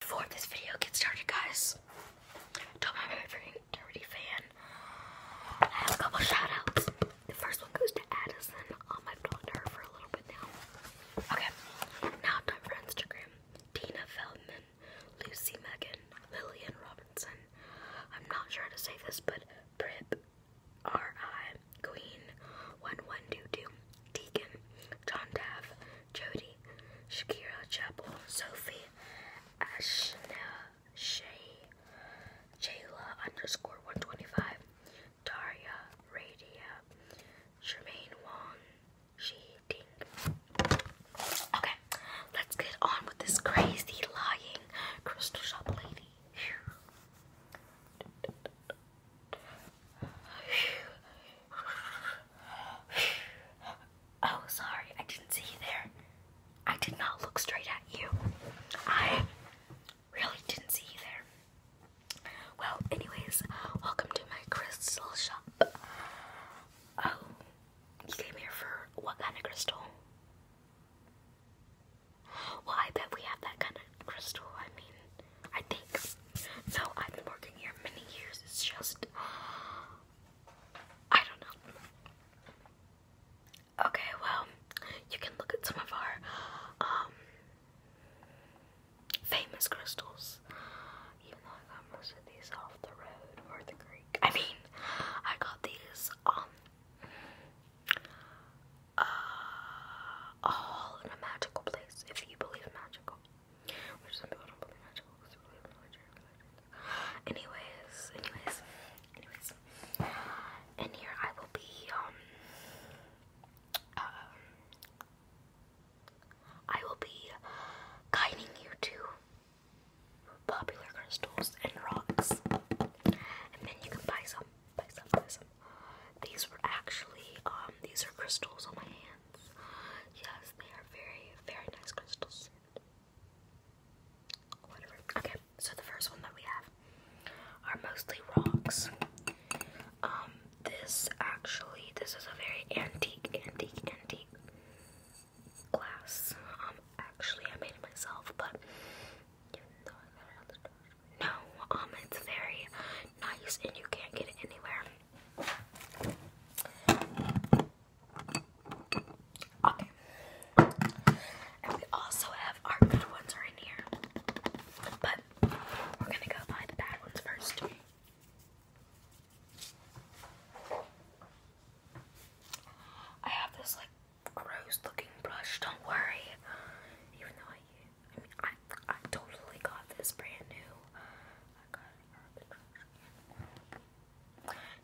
Before this video gets started, guys, don't remember if you dirty fan. I have a couple shout The first one goes to Addison. Um, uh, I've for a little bit now. Okay, now time for Instagram. Tina Feldman, Lucy Megan, Lillian Robinson. I'm not sure how to say this, but Prip, R.I., Queen, 1122, Deacon, John Dav, Jody, Shakira Chapel, Sophie, Ashna, Shay, Jayla underscore 125, Daria, Radia, Jermaine Wong, She Ding. Okay, let's get on with this crazy lying crystal shop lady. Oh, sorry, I didn't see you there. I did not look straight at you. I really didn't see you there. Well, anyways, welcome to my crystal shop. Oh, you came here for what kind of crystal? Well, I bet we have that kind of crystal. I mean, I think. So I've been working here many years. It's just I don't know. Okay, well, you can look at some of our um, famous crystals. Even though I got most of these off the road or the creek. I mean, I got these um, uh, all in a magical place, if you believe in magical. Anyways, anyways, anyways. In here I will be um, um I will be guiding you to popular crystals and rocks. And then you can buy some, buy some, buy some, these were actually, um, these are crystals on my hands. Yes, they are very, very nice crystals. Okay, so the first one that we have are mostly rocks. Um, this actually, this is a very antique, antique, antique glass. Um, actually I made it myself, but you know I got it on the no, um, it's very nice and you can't get it anywhere. Okay. And we also have our good ones are here. But we're gonna go buy the bad ones first. I have this like gross looking brush, don't worry. Even though I I totally got this brand new.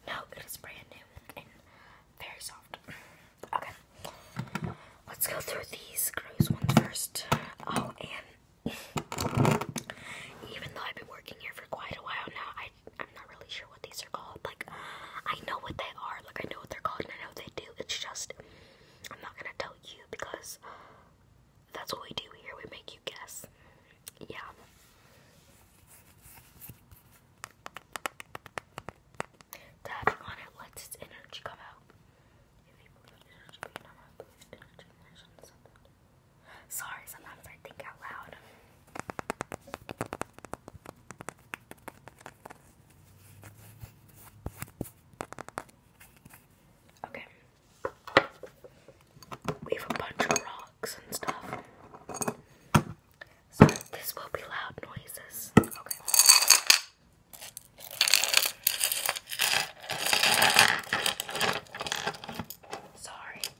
No, it is brand new and very soft. Okay, let's go through these gross ones first. Oh, and even though I've been working here for quite a while now, I I'm not really sure what these are called. Like, I know what they are. Like, I know what they're called, I know they do. It's just I'm not gonna tell you because that's what we do here. We make you guess. Yeah. Tapping on it lets its energy come out. Sorry, sometimes I think out loud. Okay. We have a bunch of rocks and stuff. So this will be loud noises. Okay. Sorry,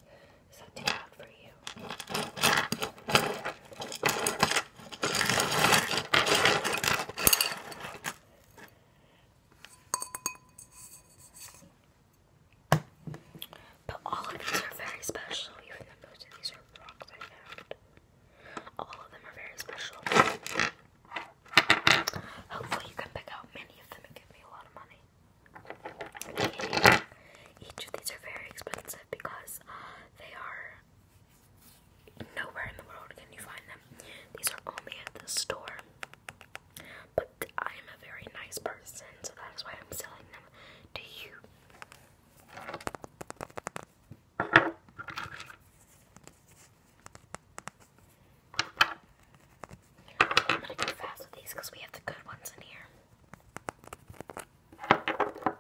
is too loud for you? But all of these are very special, even though most of these are rocks I found. All of them are very special. Hopefully, you can pick out many of them and give me a lot of money. Each of these are very expensive because they are Nowhere in the world can you find them. These are only at the store. But I'm a very nice person, so that is why I'm selling them to you. I'm gonna go fast with these because we have the good ones in here. Turns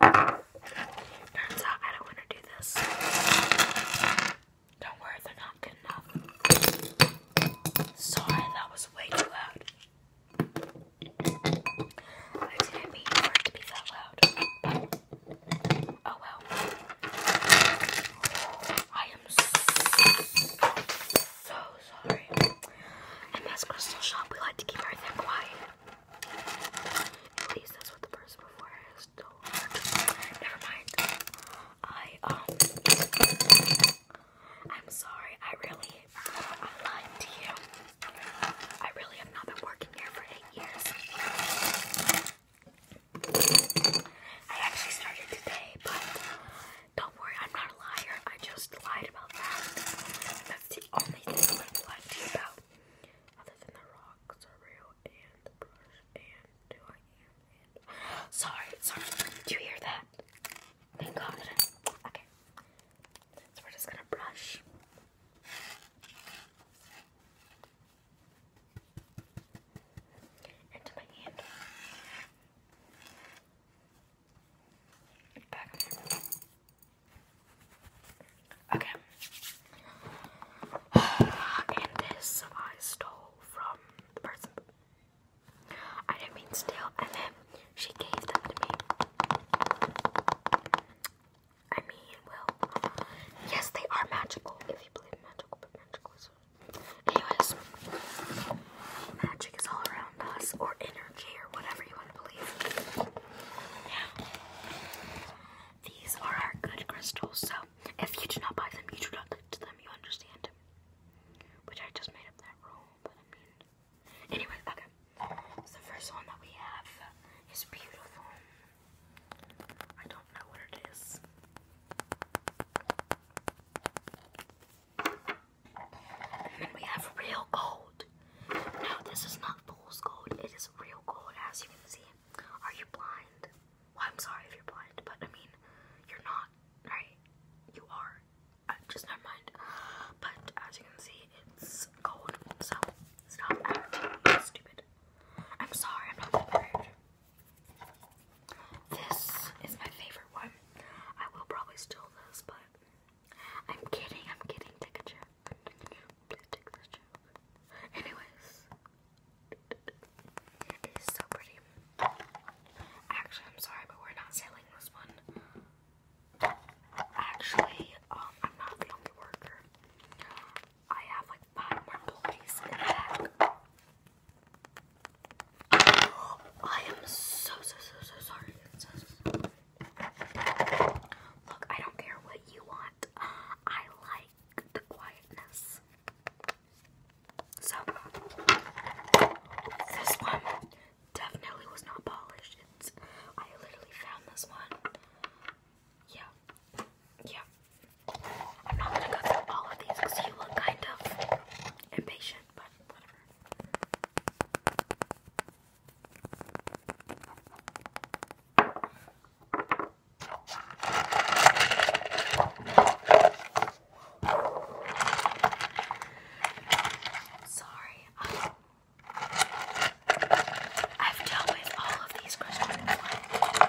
out I don't want to do this. Don't worry, they're not good enough. Sorry, that was way too loud. I didn't mean for it to be that loud. oh well. I am so sorry. In this crystal shop, we like to keep everything quiet. At that's what the person before has told. Never mind. I um I'm sorry, I really I lied to you. I really have not been working here for eight years. I actually started today, but don't worry, I'm not a liar. I just lied about that. That's the only thing i lied to you about other sorry, sorry. Do you hear that? Being confident. Okay. So we're just gonna brush. Into my hand. Back Okay. And this I stole from the person. I didn't mean steal, and then she gave them to me. I mean, well, yes, they are magical. If you believe magical, but magical is. Anyways, magic is all around us, or energy, or whatever you these are our good crystals, so if you do not buy them, you do not look to them, you understand. Which I just made up that rule, but I mean. Anyway, okay. the first one that we have is beautiful. I don't know what it is. We have real gold. No, this is not fool's gold. It is real gold, as you can see. Are you blind? I'm sorry if you're blind, but I mean, you're not, right? You are. Uh, just never mind. But as you can see, it's gold. So stop acting stupid. I'm sorry, I'm not that rude. This is my favorite one. I will probably steal this, but I'm kidding, I'm kidding. Take a joke. Please take this joke. Anyways, it is so pretty. Actually, I'm sorry, but we're not selling this one. Actually, um, I'm not the only worker. I have like five more employees in the back. I am so so so so sorry. Look, I don't care what you want. I like the quietness. So, this one definitely was not polished. I literally found this one. Yeah. Yeah. I'm not gonna go through all of these because you look kind of impatient, but whatever. Sorry, um, I've dealt with all of these questions before.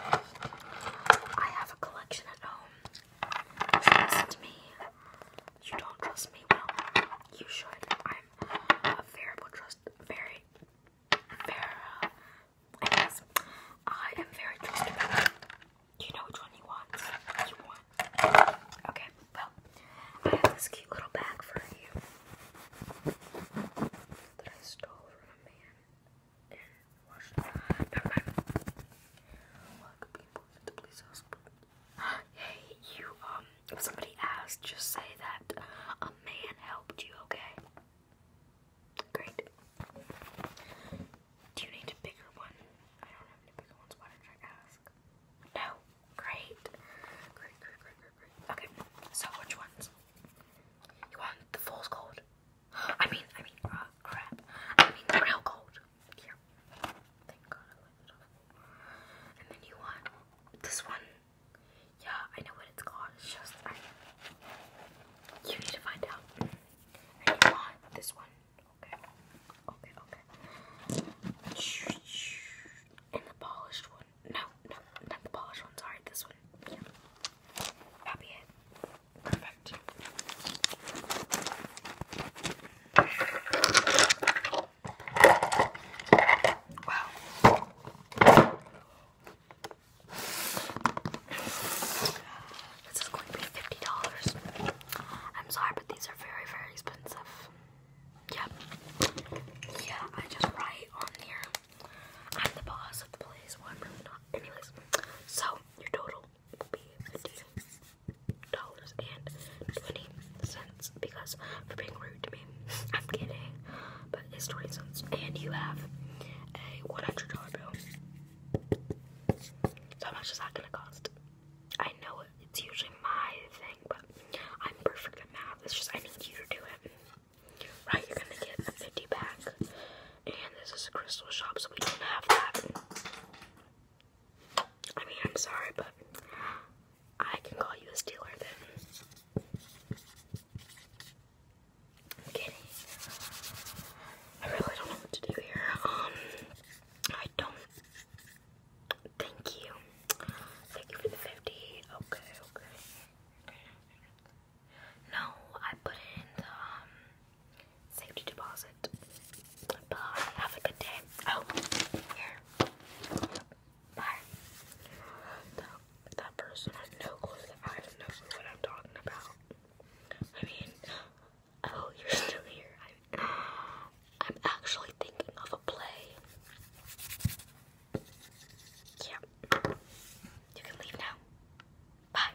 I have a collection at home. Trust me, you don't trust me. Well, you should. I'm a variable very, very. I guess I am very trustable. You know which one you want. You want. Okay. Well, I have this cute little bag for you that I stole from a man in Washington. Never people. Hey, you, um, if somebody asked, just say that a man helped you, okay? Great. Do you need a bigger one? I don't have any bigger ones, why did I ask? No? Great. Great, great, great, great, Okay, so which ones? You want the fool's gold? I mean, I mean, uh, crap. I mean, the real gold. Here. Thank God I went it And then you want this one. Yeah, I know what it's called. It's just I, you need to find out. And you want this one. Okay. Okay, okay. And the polished one. No, no, not the polished one. Sorry, this one. Yeah. that Perfect. Wow. This is going to be $50. I'm sorry, but these are very, very expensive. Yeah. Yeah, I just write on here. I'm the boss of the place. Well, i not. Anyways, so your total would be $15.20 because for being rude to me. I'm kidding, but it's 20 cents. And you have a $100 bill. So, how much is that gonna cost? I know it's usually my thing, but I'm perfect at math. It's just I need you to do it. Right, you're gonna get a 50 pack, and this is a crystal shop, so we don't have that. I mean, I'm sorry, but I can call you a stealer then. I'm kidding. I really don't know what to do here. Um, I don't. Thank you. Thank you for the 50. Okay, okay. No, I put in um, Safety deposit. Bye. Have a good day. Oh, here. Bye. That, person has no clue. I have what I'm talking about. I mean, oh, you're still here. I'm, actually thinking of a play. Yeah. You can leave now. Bye.